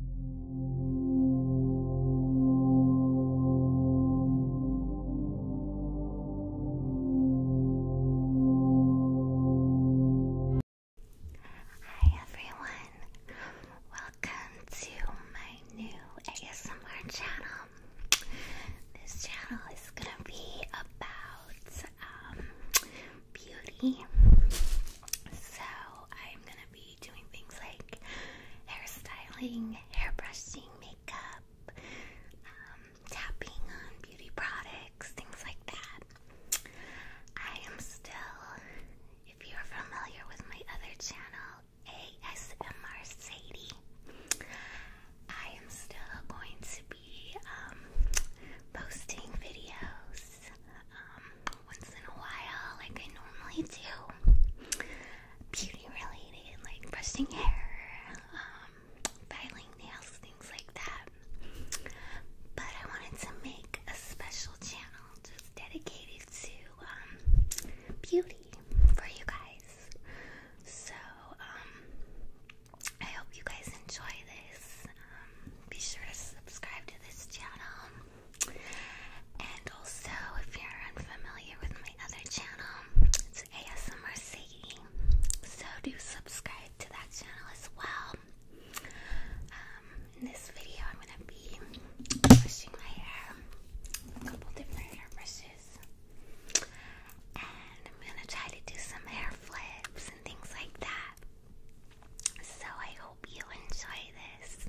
Hi everyone, welcome to my new ASMR channel. This channel is gonna be about um, beauty, so I'm gonna be doing things like hairstyling, hairbrushing, makeup, um, tapping on beauty products, things like that. I am still, if you're familiar with my other channel, ASMR Sadie. I am still going to be um, posting videos um, once in a while, like I normally do. Beauty related, like brushing hair, um, filing nails, things like that. But I wanted to make a special channel just dedicated to um, beauty for you guys. So, um, I hope you guys enjoy this be sure to subscribe to this channel. And also, if you're unfamiliar with my other channel, it's ASMR Sadie. So do subscribe to that channel as well. Um, in this video, I'm gonna be brushing my hair, a couple different hair brushes, and I'm gonna try to do some hair flips and things like that. So I hope you enjoy this.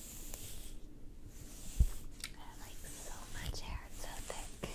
I have like so much hair, it's so thick.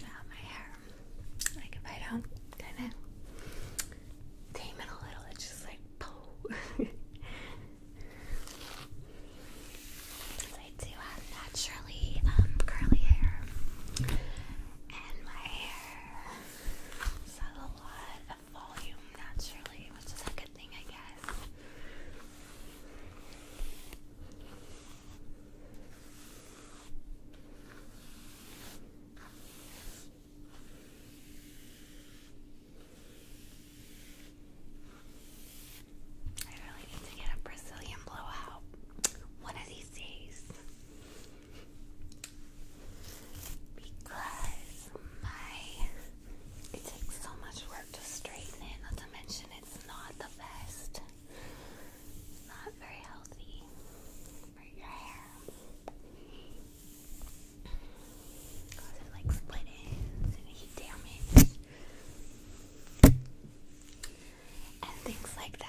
Now ah, my hair, like if I do kind of tame it a little. It's just like poo. I do have naturally um, curly hair, and my hair has a lot of volume naturally, which is a good thing, I guess. I really need to get a Brazilian blowout one of these days because my it takes so much work to straighten it, not to mention it's not the best. not very healthy for your hair. Cause it like split ends and heat damage and things like that.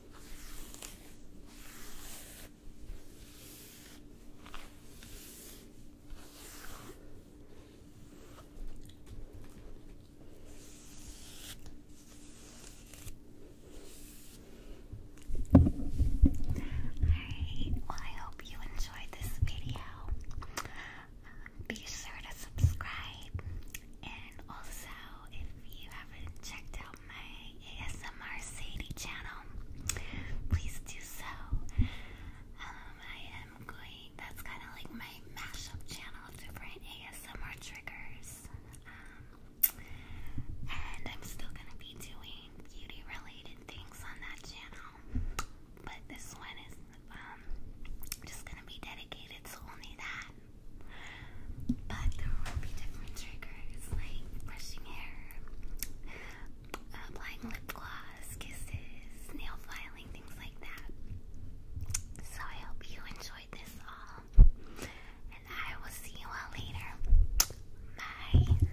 Alright, well, I hope you enjoyed this video. Um, be sure to subscribe and also, if you haven't checked out my ASMR Sadie channel, please do so. Um, I am going, that's kind of like my mashup channel of different ASMR triggers. Um, and I'm still going to be doing beauty related things on that channel. But this one is um, just going to be dedicated to only that. But there will be different triggers like brushing hair, uh, applying lip gloss, kisses, nail filing, things like that. So I hope you enjoyed this all. And I will see you all later. Bye.